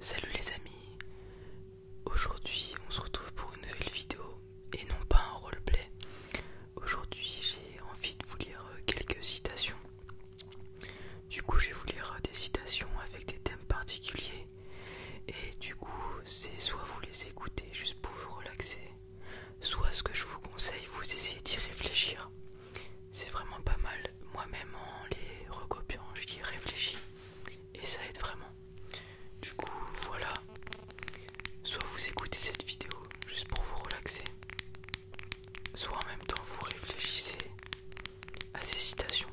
Salut les amis, aujourd'hui on se retrouve pour une nouvelle vidéo et non pas un roleplay. Aujourd'hui j'ai envie de vous lire euh, quelques citations. Du coup je vais vous lire euh, des citations avec des thèmes particuliers et du coup c'est soit vous les écoutez juste pour vous relaxer, soit ce que je vous conseille vous essayez d'y réfléchir. C'est vraiment pas mal moi-même en les recopiant, j'y réfléchis et ça aide vraiment. Du coup, voilà. Soit vous écoutez cette vidéo juste pour vous relaxer, soit en même temps vous réfléchissez à ces citations.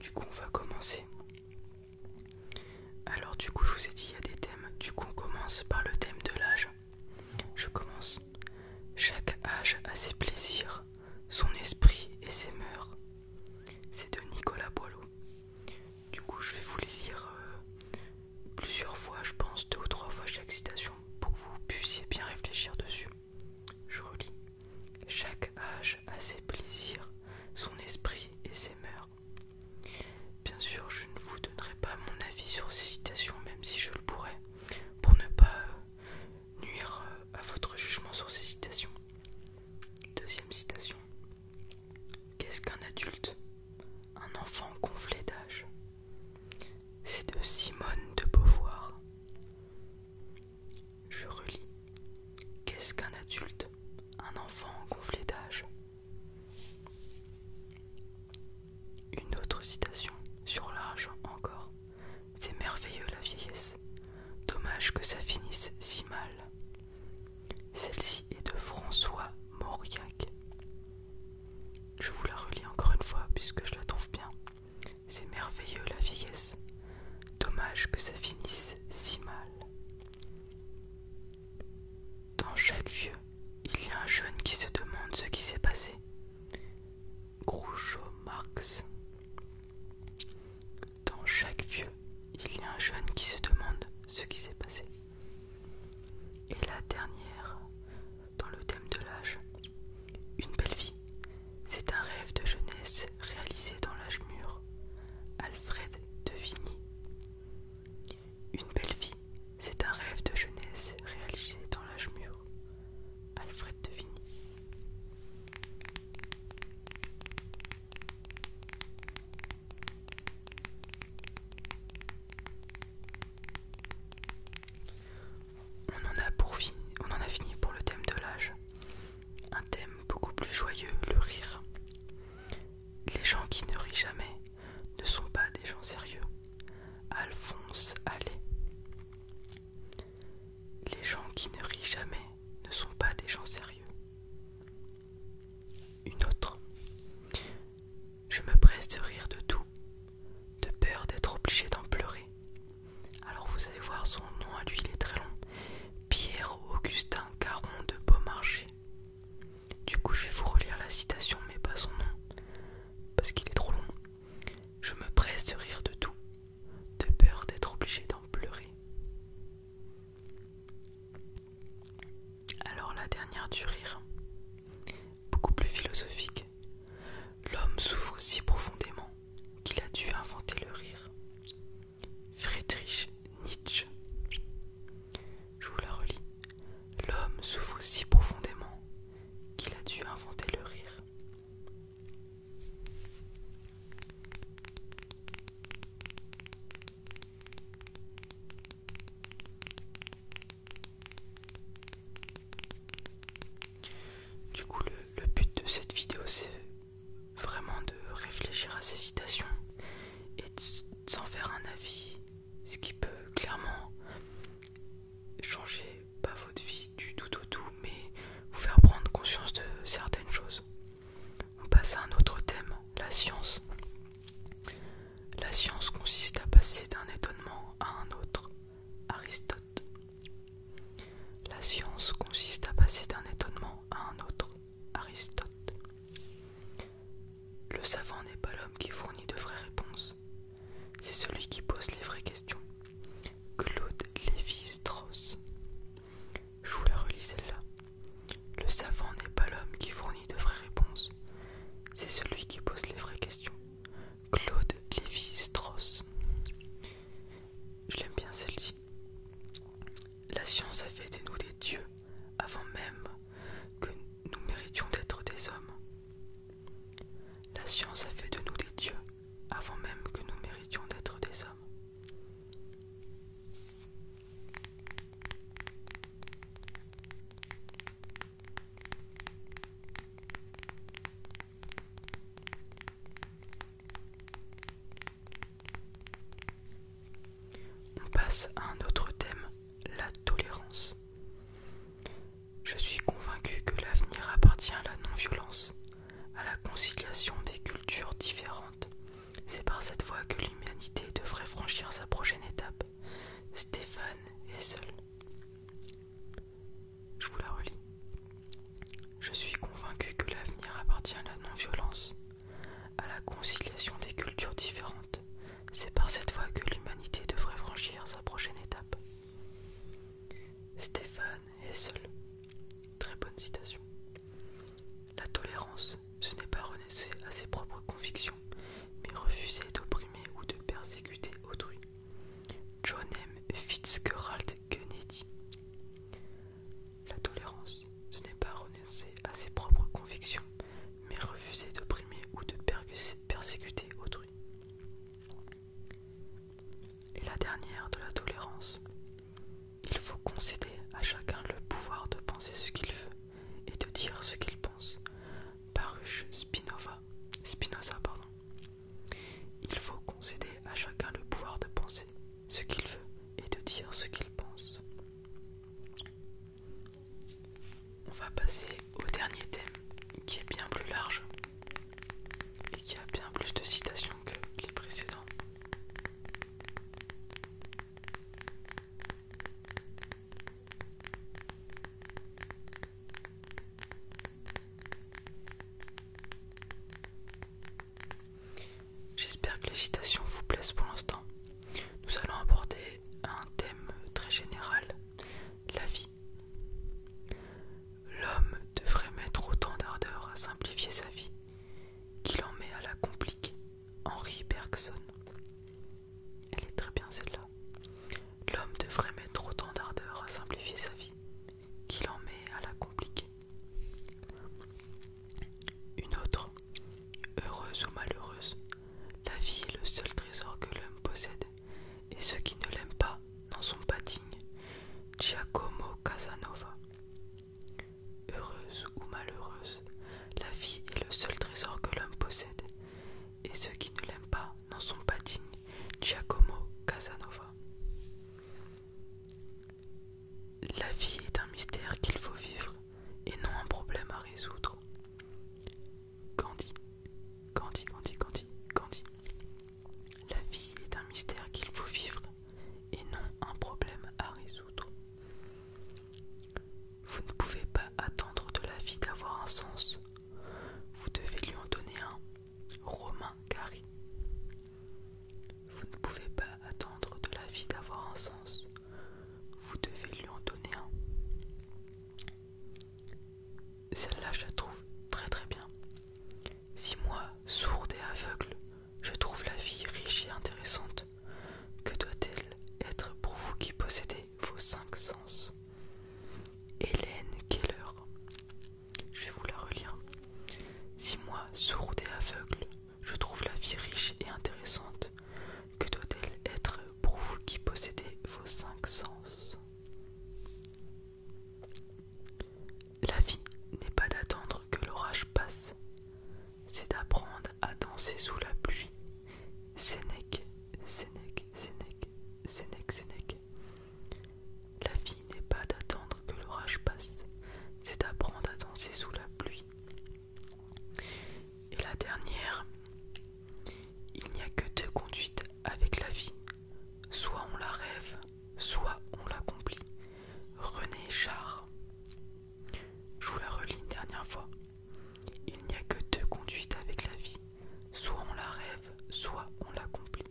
Du coup, on va commencer. Alors du coup je vous ai dit il y a des thèmes. Du coup on commence par le thème de l'âge. Je commence. Chaque âge a ses plaisirs, son esprit et ses mœurs. C'est de Nicolas Boileau. Du coup je vais vous les lire euh, plusieurs fois, je pense deux ou trois fois chaque citation pour que vous puissiez bien réfléchir dessus. Je relis. Chaque âge a ses plaisirs, son esprit et ses mœurs. Bien sûr, je ne vous donnerai pas mon avis sur ces citations, même si je le pourrais, pour ne pas euh, nuire euh, à votre jugement sur ces citations. Deuxième citation. Qu'est-ce qu'un adulte Un enfant gonflé d'âge. C'est de Simone de Beauvoir. Je relis. Qu'est-ce qu'un adulte Un enfant gonflé d'âge Une autre citation, sur l'âge encore. C'est merveilleux la vieillesse. Dommage que ça finisse si mal. Celle-ci est de François Mauriac. Je vous la relis encore une fois puisque je la trouve bien. C'est merveilleux la vieillesse. Dommage que ça finisse si mal. Dans chaque vieux, il y a un jeune qui se demande ce qui s'est passé. Groucho Marx. Dans chaque vieux, il y a un jeune qui se demande ce qui s'est passé. Et la dernière, dans le thème de l'âge, une belle vie, c'est un rêve de jeunesse réalisé dans l'âge mûr. Alfred de Vigny. Une belle vie, c'est un rêve de jeunesse réalisé dans l'âge mûr. Alfred de Vigny on en, a pour fini, on en a fini pour le thème de l'âge. Un thème beaucoup plus joyeux, le rire. Les gens qui ne rient jamais ne sont pas des gens sérieux. Alphonse Allais. Les gens qui ne rient jamais ne sont pas des gens sérieux. Une autre. Je me presse de rire de tout, de peur d'être obligé d'en pleurer. Alors vous allez voir son nom à lui, il est très long. Pierre Augustin Caron de Beaumarchais. Du coup, je vais vous relire la citation, mais pas son nom, parce qu'il est trop long. Je me presse de rire de tout, de peur d'être obligé d'en pleurer. Alors la dernière du rire, beaucoup plus philosophique. L'homme souffre si profondément qu'il a dû inventer le rire. Friedrich Nietzsche. Je vous la relis. L'homme souffre si profondément qu'il a dû inventer le rire. Du coup, le, but de cette vidéo, c'est vraiment de réfléchir à ces citations et de s'en faire un avis, ce qui peut clairement changer pas votre vie du tout au tout, mais vous faire prendre conscience de certaines choses. On passe à un autre thème, la science. La science consiste à passer d'un étonnement à un autre. Aristote. La science consiste à passer d'un étonnement à un autre. Aristote. Le savant n'est pas l'homme qui fournit de vraies réponses. C'est celui qui pose les vraies questions. Claude Lévi-Strauss. Je vous la relis celle-là. Le savant n'est pas l'homme qui fournit de vraies réponses c'est celui qui pose les vraies questions. Claude Lévi-Strauss. Je l'aime bien celle-ci. La science a fait de nous des dieux avant même que nous méritions d'être des hommes. La science a fait de nous des dieux avant même que nous méritions d'être des hommes. On passe à un autre thème, la tolérance. Je suis convaincu que l'avenir appartient à la non-violence, à la conciliation des cultures différentes. C'est par cette voie que l'humanité devrait franchir sa prochaine étape, Stéphane est seul. Je vous la relis. Je suis convaincu que l'avenir appartient à la non-violence, à la conciliation des cultures différentes. C'est par cette voie que l'humanité devrait franchir sa prochaine étape. Stéphane est seul. Très bonne citation. La tolérance, ce n'est pas renoncer à ses propres convictions, mais refuser d'opprimer ou de persécuter autrui. John M. Fitzgerald Kennedy. La tolérance, ce n'est pas renoncer à ses propres convictions, mais refuser d'opprimer ou de persécuter autrui. Et la dernière de la tolérance, il faut concéder à chacun le pouvoir de penser ce qu'il veut et de dire ce qu'il pense. paruche Spinoza. Pardon. Il faut concéder à chacun le pouvoir de penser ce qu'il veut et de dire ce qu'il pense. On va passer au dernier thème qui est bien plus large et qui a bien plus de citations que les précédents. J'espère que les citations vous plaisent pour l'instant. Nous allons aborder un thème très général, la vie. L'homme devrait mettre autant d'ardeur à simplifier sa vie qu'il en met à la compliquer, Henri Bergson. Elle est très bien celle-là. L'homme devrait mettre autant d'ardeur à simplifier sa vie qu'il en met à la compliquer. Une autre, heureuse ou malheureuse, la vie est le seul trésor que l'homme possède, et ceux qui ne l'aiment pas n'en sont pas dignes. Giacomo Casanova. Heureuse ou malheureuse, la vie est le seul trésor que l'homme possède, et ceux qui ne l'aiment pas n'en sont pas dignes. Giacomo Casanova. La vie est un mystère qu'il faut vivre, et non un problème à résoudre. Gandhi, la vie est un mystère qu'il faut vivre et non un problème à résoudre. Vous ne pouvez pas attendre de la vie d'avoir un sens. Vous devez lui en donner un. Romain Gary. Vous ne pouvez pas attendre de la vie d'avoir un sens. Vous devez lui en donner un. Celle-là, je la trouve très très bien. Si moi, sourde et aveugle, je trouve la vie riche et intéressante, que doit-elle être pour vous qui possédez vos cinq sens Hélène Keller. Je vais vous la relire. Si moi, sourde et aveugle, je trouve la vie riche et intéressante, que doit-elle être pour vous qui possédez vos cinq sens la vie n'est pas d'attendre que l'orage passe, c'est d'apprendre à danser sous la pluie. Sénèque, Sénèque, Sénèque, Sénèque, Sénèque. La vie n'est pas d'attendre que l'orage passe, c'est d'apprendre à danser sous la pluie. Et la dernière, il n'y a que deux conduites avec la vie. Soit on la rêve, soit on l'accomplit. René Char. Je vous la relis une dernière fois. Il n'y a que deux conduites avec la vie. Soit on la rêve, soit on l'accomplit.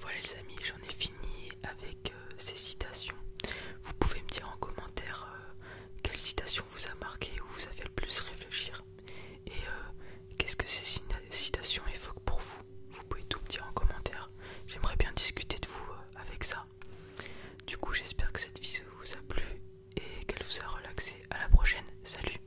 Voilà les amis, j'en ai fini avec euh, ces citations. Vous pouvez me dire en commentaire euh, quelle citation vous a marqué ou vous a fait le plus réfléchir. Et euh, qu'est-ce que ces citations évoquent pour vous Vous pouvez tout me dire en commentaire. J'aimerais bien discuter de vous avec ça. Du coup, j'espère que cette vidéo vous a plu et qu'elle vous a relaxé. À la prochaine. Salut